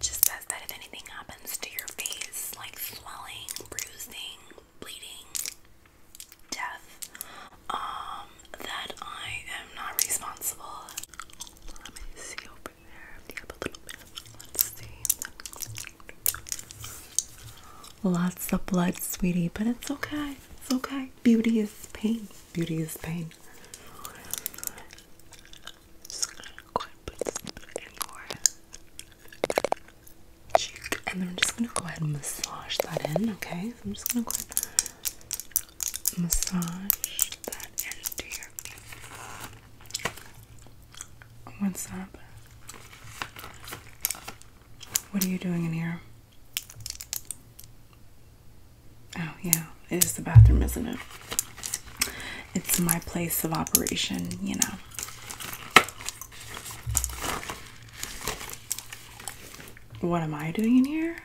Just says that if anything happens to your face, like swelling, bruising, bleeding, death, um, that I am not responsible. Let me see over there. Yep, a little bit. Let's see. Lots of blood, sweetie, but it's okay. It's okay. Beauty is pain. Beauty is pain. And I'm just gonna go ahead and massage that in, okay? I'm just gonna go ahead and massage that into your What's up? What are you doing in here? Oh, yeah, it is the bathroom, isn't it? It's my place of operation, you know. What am I doing in here?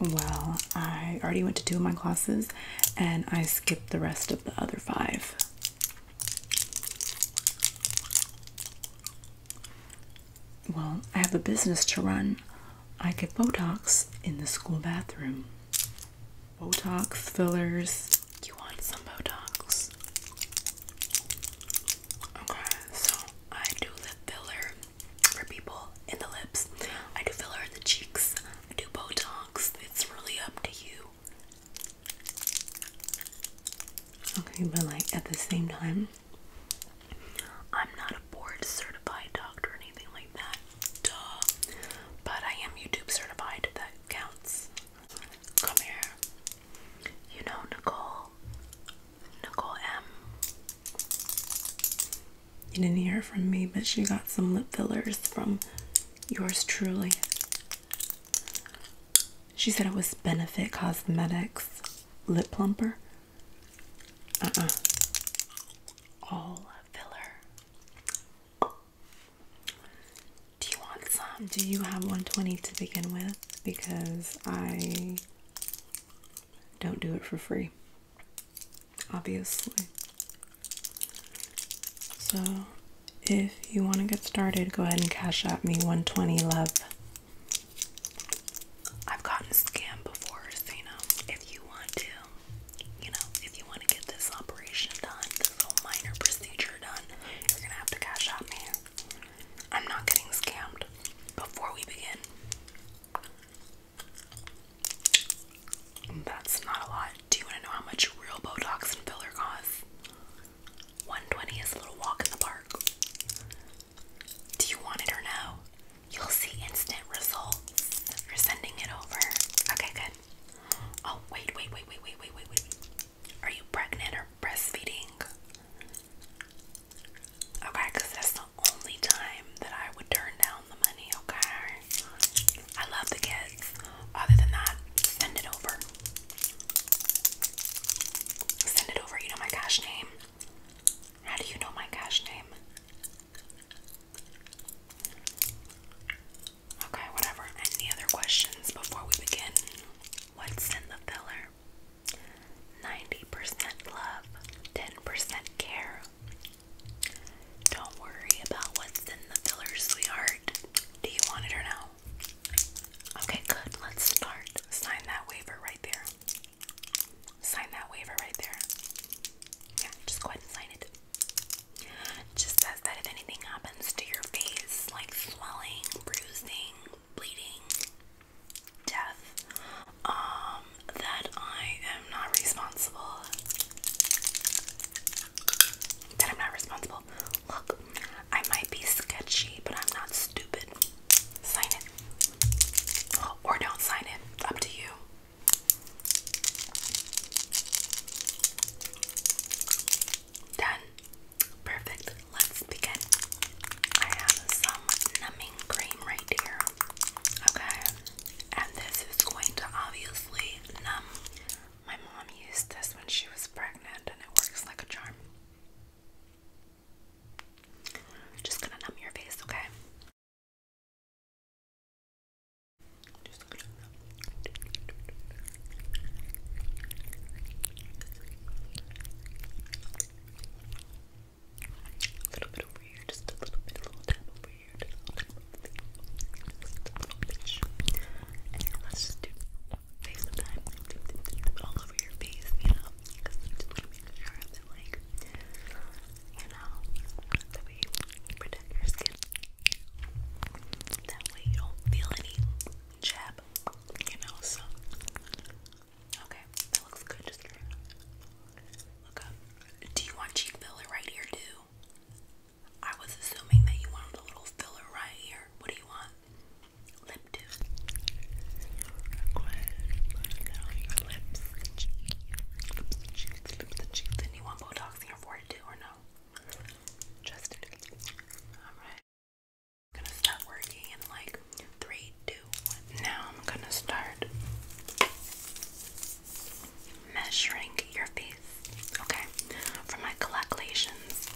Well, I already went to two of my classes and I skipped the rest of the other five well, I have a business to run. I get Botox in the school bathroom. Botox fillers. You want some Botox? Okay, so I do the filler for people in the lips. I do filler in the cheeks. I do Botox. It's really up to you. Okay, but like at the same time, I'm not a board certified doctor or anything like that, But I am YouTube certified, that counts. Come here. You know Nicole. Nicole M. You didn't hear from me, but she got some lip fillers from yours truly. She said it was Benefit Cosmetics Lip Plumper. Uh uh. All filler. Do you want some? Do you have 120 to begin with? Because I don't do it for free, obviously. So if you want to get started, go ahead and cash out me 120 love. I've gotten scammed before, so you know, if you want to, you know, if you want to get this operation done, this little minor procedure done, you're gonna have to cash out me. I'm not getting scammed. Before we begin, that's not a lot. Do you want to know how much real Botox and filler costs? 120 is a little walk in the park. Do you want it or no? You'll see instant results. You're sending it over. Okay, good. Oh, wait, wait, wait, wait, wait, wait, wait, Are you pregnant or breastfeeding? Okay, that's the only time that I would turn down the money, okay? I love the kids. Other than that, send it over. Send it over. You know my cash name. How do you know my cash name? Okay, whatever. Any other questions before we begin? What's in the filler? 90% love, 10% care. Don't worry about what's in the filler, sweetheart. Do you want it or no? Okay, good. Let's start. Sign that waiver right there. Sign that waiver right there. Yeah, just go ahead and sign it. Just says that if anything happens to your face, like swelling, bruising, bleeding, death, um, that I am not responsible. That I'm not responsible. Look, I might be sketchy, but I'm not stupid. Sign it. Or don't sign it. Up to you. Done. Perfect. Let's begin. I have some numbing cream right here. Okay. And this is going to obviously numb. My mom used this when she was pregnant and it works like a charm. Just gonna numb your face, okay? Just A little bit over here, just a little bit, a little tap over here, just a little tap just a little bit. let's just do all over your face, you know, just to make sure that, like, you know, that we protect your skin. That way you don't feel any jab, you know, so. Okay, that looks good. Just look up. Do you want cheek filler right here, too? I was assuming that you wanted a little filler right here. What do you want? lip tube. Your lips, the cheeks, lips, the cheeks, lips, the cheeks. And you want Botox in your forehead too, or no? Just Alright. gonna start working in like three, two, one. Now I'm gonna start measuring your face. Okay. For my calculations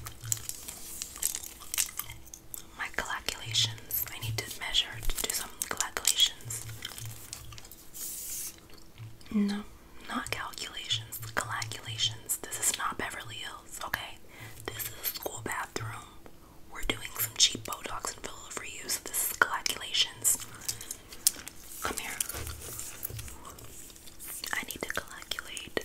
my calculations. I need to measure to do some calculations. No, not calculations. Calculations. This is not Beverly Hills, okay? This is a school bathroom. We're doing some cheap Botox and filler of reuse. this is calculations. Come here. I need to calculate.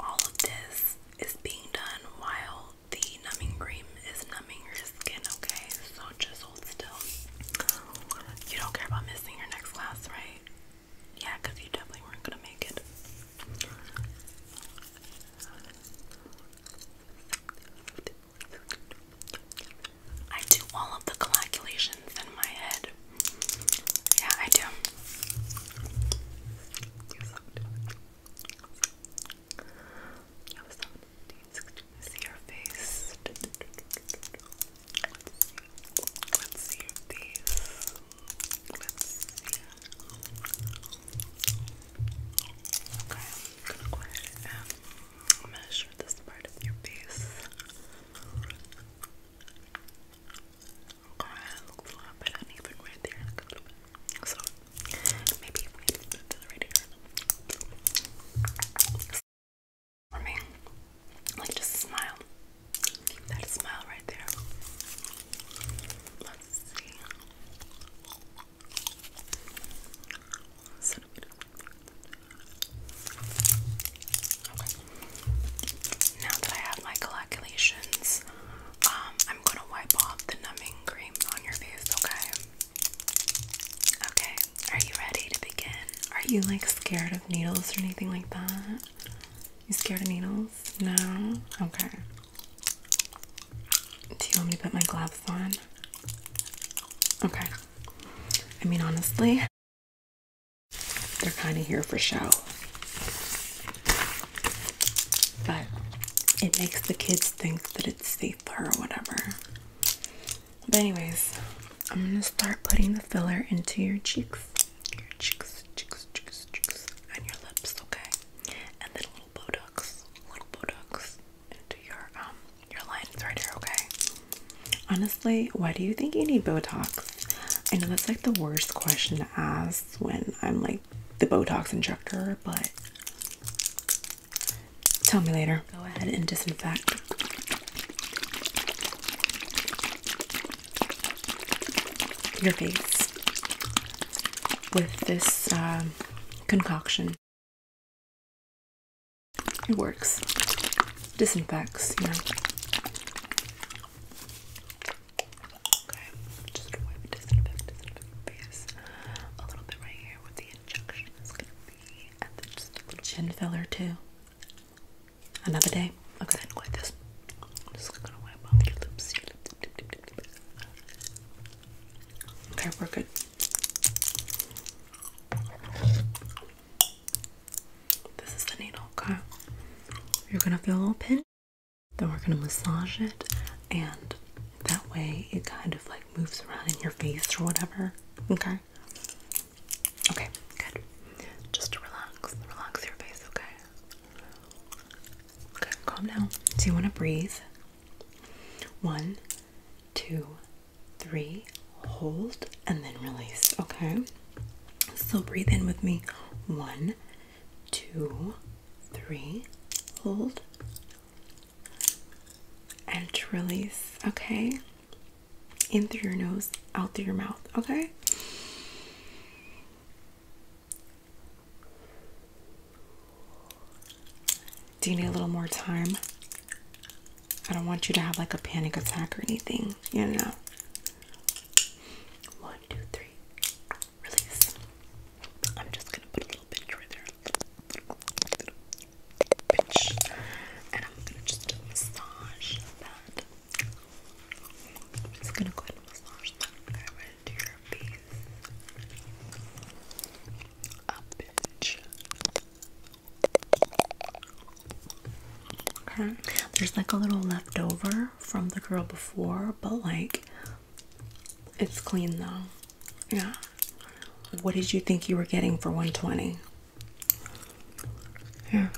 All of this is being done while the numbing cream is numbing your skin, okay? So just hold still. You don't care about missing your next class, right? Yeah, because you definitely weren't going to make it. I do all of the calculations in my head. Yeah, I do. See your face. Let's see your face. Let's see. Okay, I'm going measure this part of your face. Okay, it looks a lot better than right there. a little bit. So maybe if we put this right here. For me, like just smile. that smile right there. Let's see. Now that I have my calculations, um, I'm gonna wipe off the numbing cream on your face, okay? Okay, are you ready to begin? Are you like scared of needles or anything like that? You scared of needles? No? Okay. Do you want me to put my gloves on? Okay. I mean, honestly, they're kind of here for show. But it makes the kids think that it's safer or whatever. But anyways, I'm gonna start putting the filler into your cheeks, your cheeks, cheeks, cheeks, cheeks, and your lips, okay? And then a little Botox, little Botox, into your um your lines right here, okay? Honestly, why do you think you need Botox? I know that's like the worst question to ask when I'm like the Botox injector, but tell me later. Go ahead and disinfect. Your face with this uh, concoction. It works. Disinfects, you know. Okay, just wipe disinfect, disinfect face. A little bit right here where the injection is gonna be. And then chin filler too. Another day. Okay, like this. Okay, we're good. This is the needle, okay? You're gonna feel a little pinch, then we're gonna massage it, and that way it kind of like moves around in your face or whatever, okay? Okay, good. Just to relax, relax your face, okay? Okay, calm down. Do you wanna breathe. One, two, three, hold, and then release. Okay, so breathe in with me one, two, three, hold, and release. Okay, in through your nose, out through your mouth. Okay. Do you need a little more time? I don't want you to have like a panic attack or anything, you know. One, two, three, release. I'm just gonna put a little pinch right there. Pinch. And I'm gonna just massage that. I'm just gonna go ahead and massage that. There's like a little leftover from the girl before, but like it's clean though. Yeah. What did you think you were getting for 120? Here.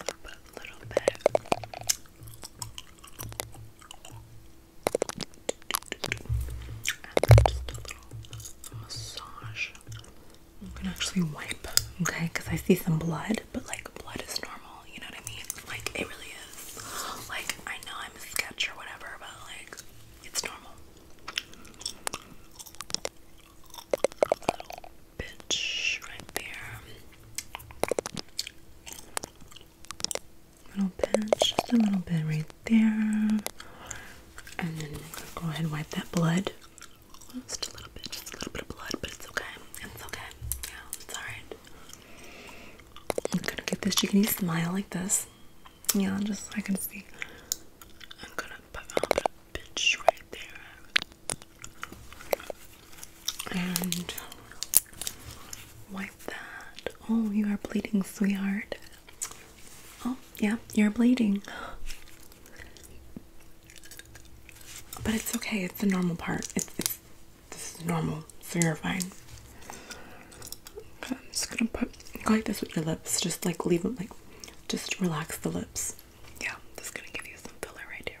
a little bit. I'm gonna actually wipe, okay? Because I see some blood, but like blood is normal, you know what I mean? Like it really is. Like I know I'm a sketch or whatever, but like it's normal. Little bitch right there. A little bit, just a little bit right there. And then go ahead and wipe that blood. Just a little bit, just a little bit of blood, but it's okay. It's okay. Yeah, it's alright. I'm gonna get this. You can you smile like this. Yeah, just so I can see. I'm gonna put a pinch right there. And Wipe that. Oh, you are bleeding, sweetheart. Oh, yeah, you're bleeding. But it's okay, it's the normal part. It's, it's this is normal, so you're fine. I'm just gonna put go like this with your lips, just like leave them like just relax the lips. Yeah, just gonna give you some filler right here.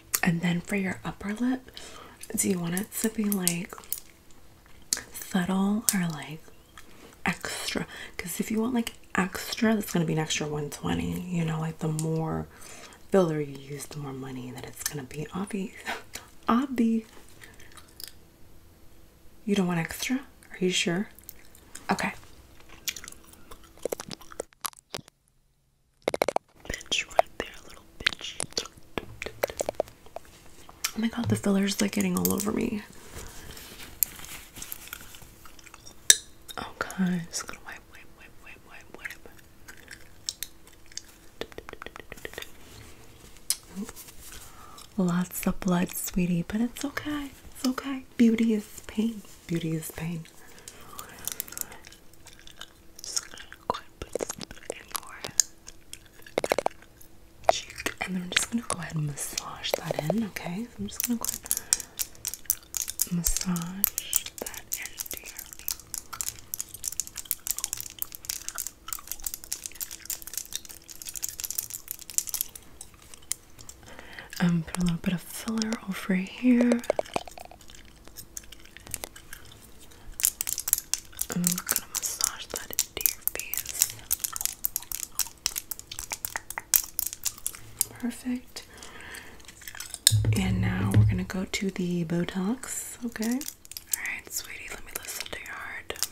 And then for your upper lip, do you want it to be like subtle or like extra? Because if you want like extra, that's going to be an extra 120. You know, like the more filler you use, the more money that it's going to be. Obby. Obby. You don't want extra? Are you sure? Okay. Oh my god, the filler's like getting all over me. Okay, i just gonna wipe, wipe, wipe, wipe, wipe, wipe. Lots of blood, sweetie, but it's okay. It's okay. Beauty is pain. Beauty is pain. And then I'm just gonna go ahead and massage that in, okay? I'm just gonna go ahead and massage that in dear. Um, put a little bit of filler over here. I'm gonna massage that into your face. Perfect. And now we're gonna go to the Botox, okay? Alright, sweetie, let me listen to your heart.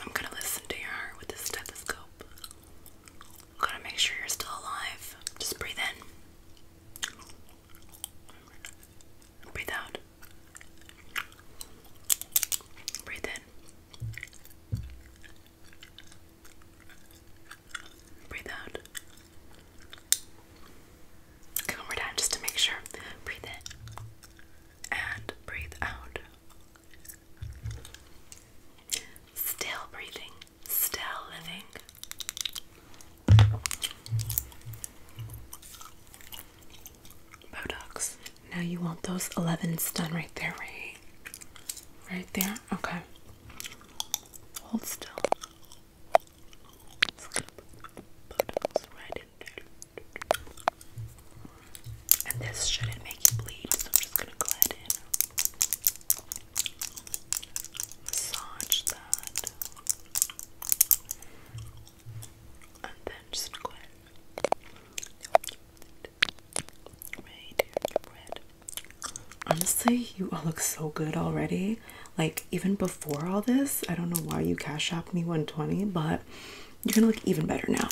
I'm gonna listen to your heart with this stethoscope. Gotta make sure you're still alive. Just breathe in. Breathe out. Breathe in. Breathe out. Okay, one more just to make sure. Breathe in. And breathe out. Still breathing. Still living. Botox. Now you want those 11s done right there, right? Right there? Okay. Hold still. And this shouldn't make you bleed, so I'm just gonna go ahead massage that and then just go ahead right honestly you all look so good already like even before all this I don't know why you cash shopped me 120 but you're gonna look even better now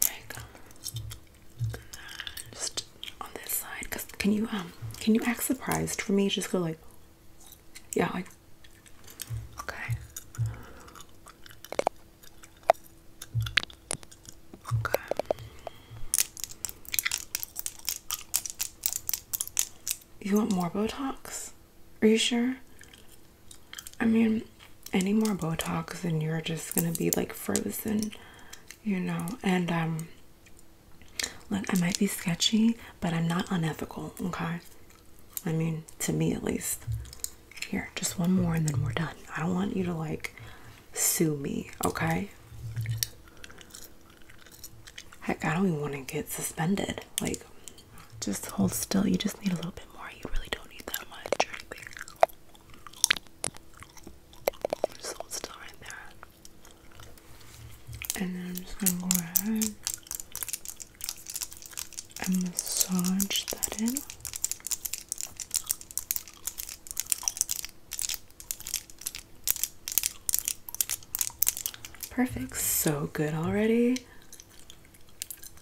there Just on this side, cause can you um can you act surprised for me? Just go like, yeah, like, okay, okay. You want more Botox? Are you sure? I mean, any more Botox and you're just gonna be like frozen, you know. And um, look, I might be sketchy, but I'm not unethical, okay? I mean, to me at least. Here, just one more and then we're done. I don't want you to like sue me, okay? Heck, I don't even want to get suspended. Like, just hold still. You just need a little bit more. You really don't need that much Just hold still right there. And then I'm just gonna go ahead and massage that in. Perfect. So good already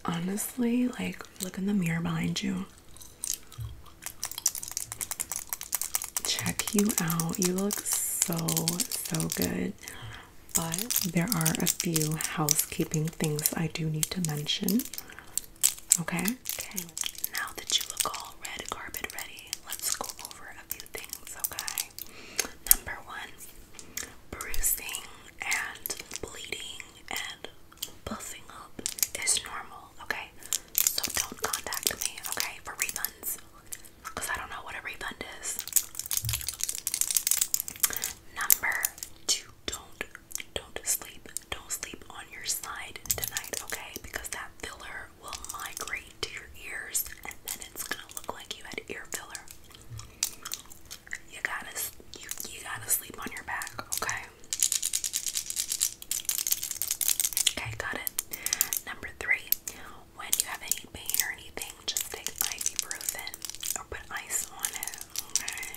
honestly, like, look in the mirror behind you. Check you out. You look so, so good. But there are a few housekeeping things I do need to mention. Okay? Okay. Now that you look all red carpet ready, let's go over a few things, okay? Number one, bruising and bleeding and buffing up is normal, okay? So don't contact me, okay, for refunds. Because I don't know what a refund is. Number two, don't don't sleep. Don't sleep on your side tonight, okay? Because that filler will migrate to your ears and then it's gonna look like you had ear filler. You gotta you you gotta sleep on your back, okay? Okay, got it. Number three, when you have any pain or anything, just take ibuprofen or put ice on it. Okay.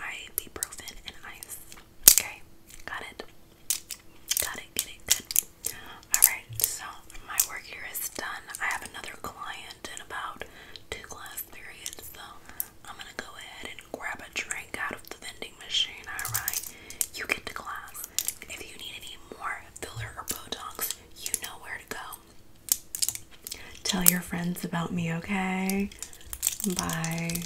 Ibuprofen and ice. Okay, got it. Got it, get it, good. Alright, so my work here is done. I have another client in about two class periods, so I'm gonna go ahead and grab a drink out of the vending machine. Alright, you get to class. If you need any more filler or Botox, you know where to go. Tell your friends about me, okay? Bye.